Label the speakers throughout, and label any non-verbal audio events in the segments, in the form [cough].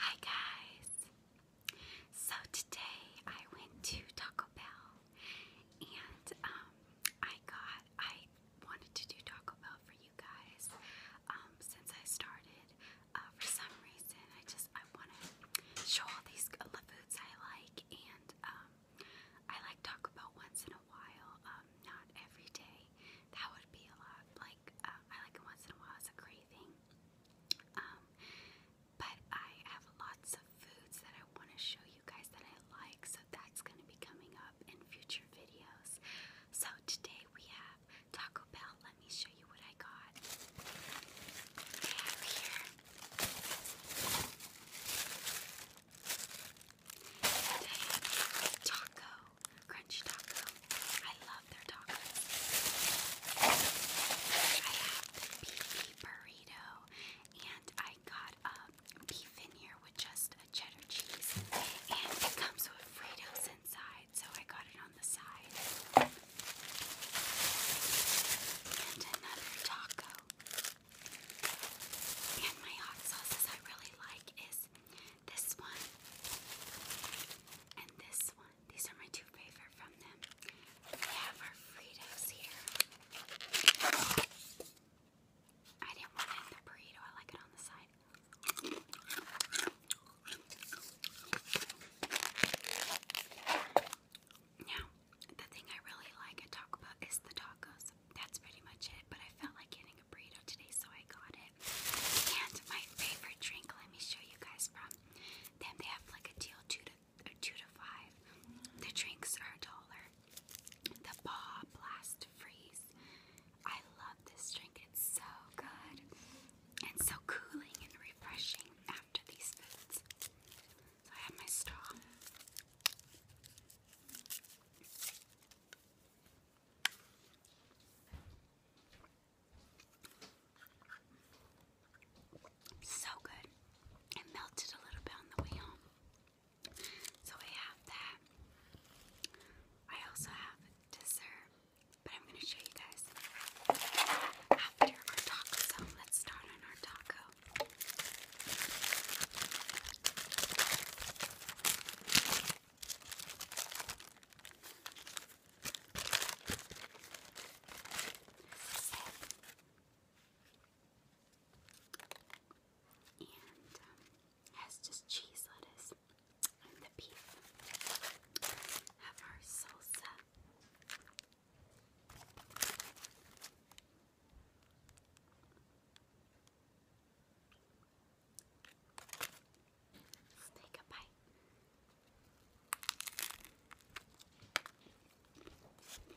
Speaker 1: Hi guys! So today I went to Taco Bell and um, I got, I wanted to do Taco Bell for you guys um, since I started. Uh, for some reason I just, I want to show all these uh, foods I like and um, I like Taco Bell once in a while, um, not every day. That would be a lot. Like, um, I like it once in a while, it's a great thing. Um, but I have lots of foods that I want to show you guys that I like, so that's going to be coming up in future videos. So today we have Taco Bell. Let me show you what I got. I have here and taco Crunchy Taco. I love their tacos. I have the beefy burrito, and I got a beef in here with just a cheddar cheese, and it comes with Fritos inside, so I got it on the side. And another taco. And my hot sauces I really like is this one and this one. These are my two favorite from them. We have our Fritos here. I didn't want it burrito, I like it on the side. Now, the thing I really like at Taco is the tacos. That's pretty much it, but I felt like getting a burrito today, so I got it. And my favorite drink, let me show you guys from them. They have like a deal two to uh, two to five. The drinks are a dollar. The Paw Blast Freeze. I love this drink. It's so good and so cooling and refreshing after these foods. So I have my straw. So good. It melted a little bit on the way home. So I have that. I also have dessert, but I'm going to show you guys after our taco. So let's start on our taco. And um, has just cheese lettuce and the beef. Have our salsa. Let's take a bite. Really good.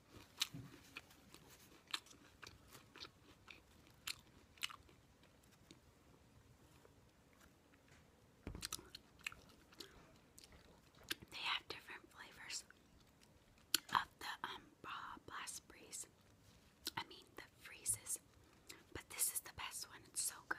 Speaker 1: They have different flavors of the um blast I mean the freezes. But this is the best one. It's so good.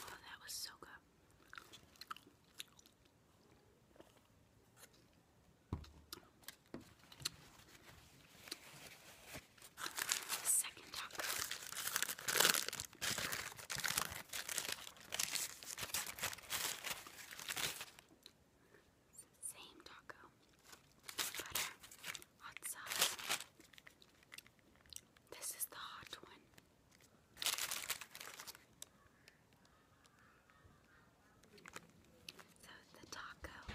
Speaker 1: Oh, that was so good. Second taco. Same taco. Butter. Hot sauce. This is the hot one. So the taco.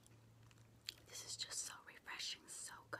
Speaker 1: This is just so refreshing, so good.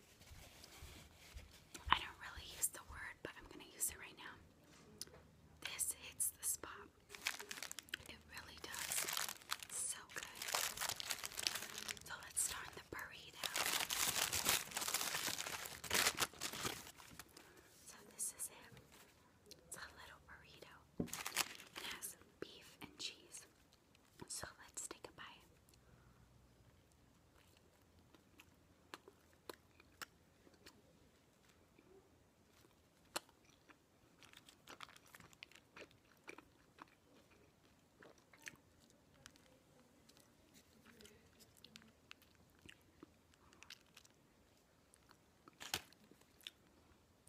Speaker 1: I don't really use the word, but I'm going to use it right now. This hits the spot. It really does. so good. So let's start the burrito. So this is it. It's a little burrito. It has beef and cheese. So let's take a bite.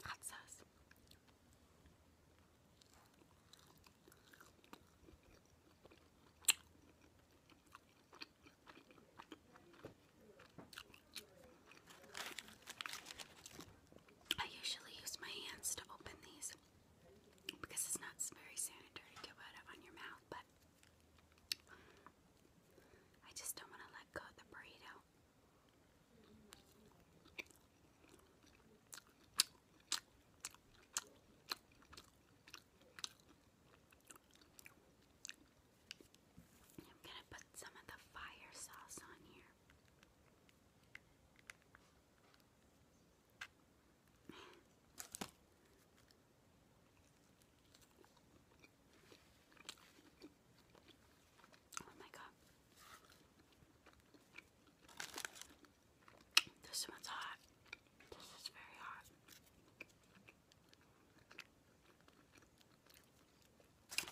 Speaker 1: Hot sauce. I usually use my hands to open these because it's not very sanitary to put it on your mouth, but I just don't want to let go of the burrito. I'm going to put some of the fire sauce on here. [laughs] Oh my god. This one's hot. This is very hot.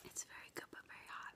Speaker 1: It's very good, but very hot.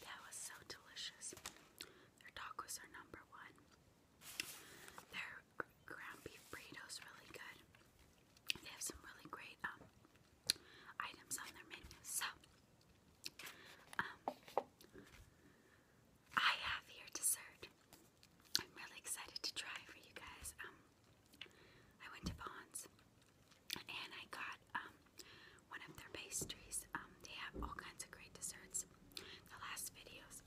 Speaker 1: That was so delicious. Their tacos are number one. Their ground beef burrito really good. They have some really great um, items on their menu. So, um, I have here dessert. I'm really excited to try for you guys. Um, I went to Bonds and I got one of their pastries. they have all kinds of great desserts. The last videos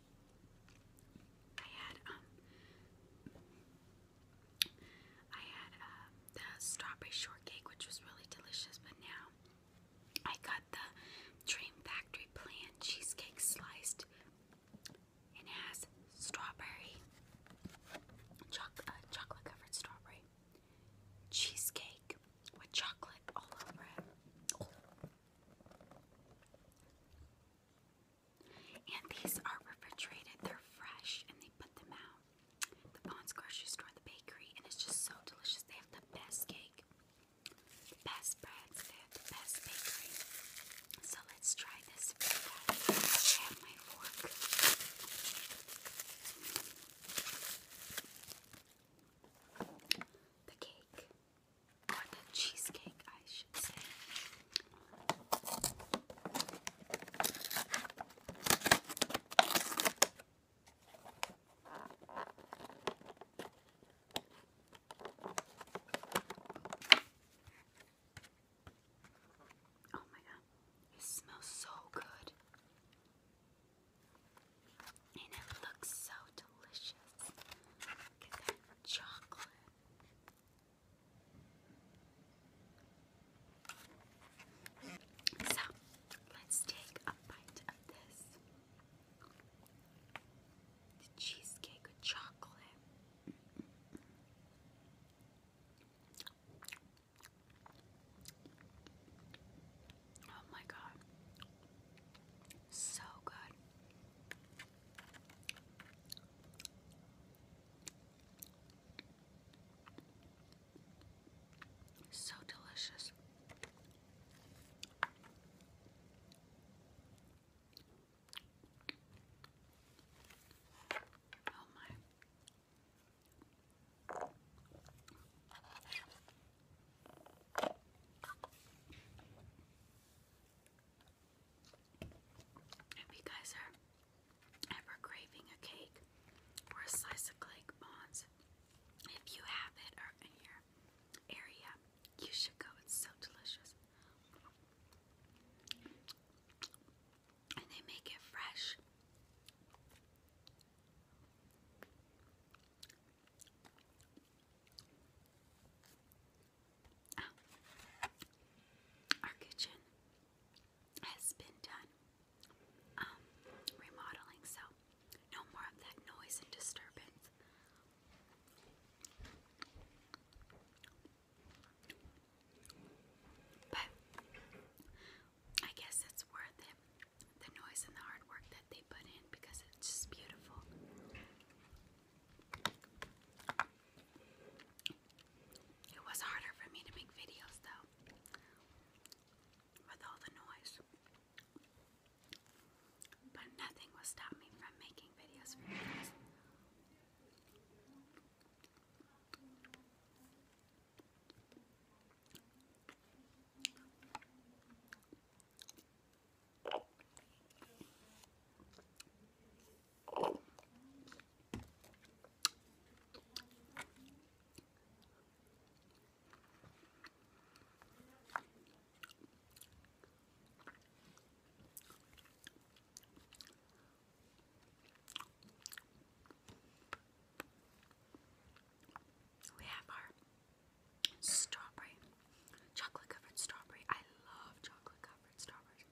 Speaker 1: I had um, I had uh, the strawberry shortcake which was really delicious but now I got the Dream Factory plan cheesecake sliced and it has strawberry choc uh, chocolate covered strawberry cheesecake with chocolate all over it. Oh. And these are refrigerated, they're fresh, and they put them out. The Bonds grocery store, the bakery, and it's just so delicious. They have the best cake, the best breads, they have the best bakery. So let's try this. I have my fork. The cake or the cheesecake, I should say. Oh my god, it smells so good. And it looks so delicious. Look at that chocolate. So let's take a bite of this. cheesecake with chocolate. Oh my god. So good. So delicious. Oh my. If you guys are ever craving a cake or a slice of cake bonds, if you have it or in your area, you should go. It's so delicious. And they make it fresh. Our kitchen has been done um, remodeling, so no more of that noise and disturbance. But I guess it's worth it the noise and the hard work that they put in because it's just beautiful. It was harder for me to make videos though, with all the noise. But nothing will stop me from making videos for you guys. We have our strawberry, chocolate covered strawberry. I love chocolate covered strawberries.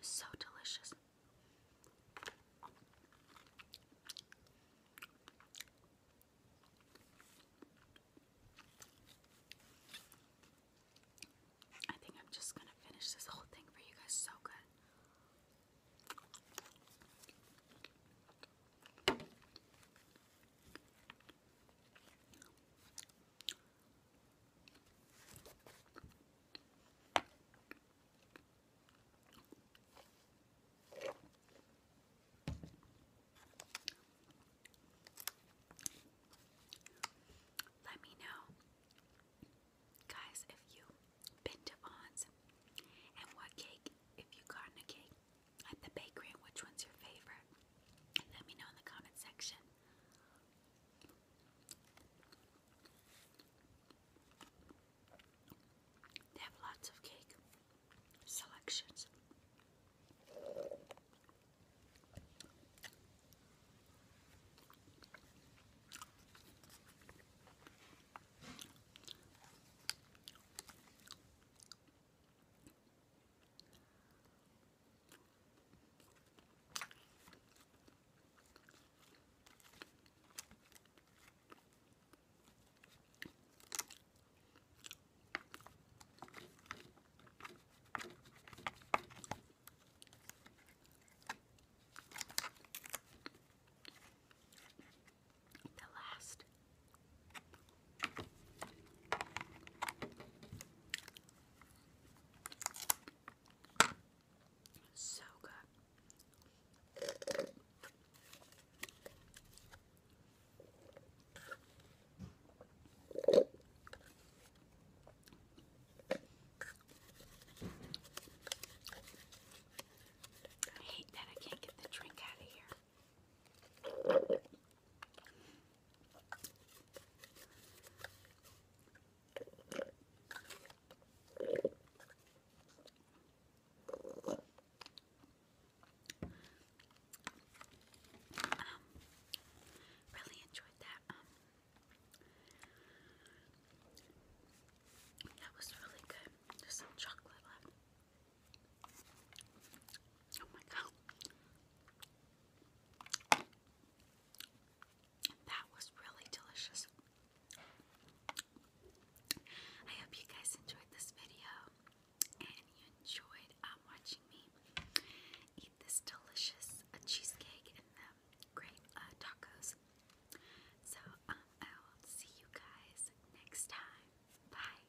Speaker 1: So delicious. I think I'm just going to finish this whole thing for you guys. So good. Let me know, guys, if you've been to Vaughn's and what cake, if you've gotten a cake at the bakery, and which one's your favorite. Let me know in the comment section. They have lots of cake selections. The last so good. I hate that I can't get the drink out of here. Um, really enjoyed that. Um, that was really good. There's some chocolate left. Oh my god. That was really delicious. I hope you guys enjoyed this video and you enjoyed um, watching me eat this delicious uh, cheesecake and the great uh, tacos. So um, I will see you guys next time. Bye.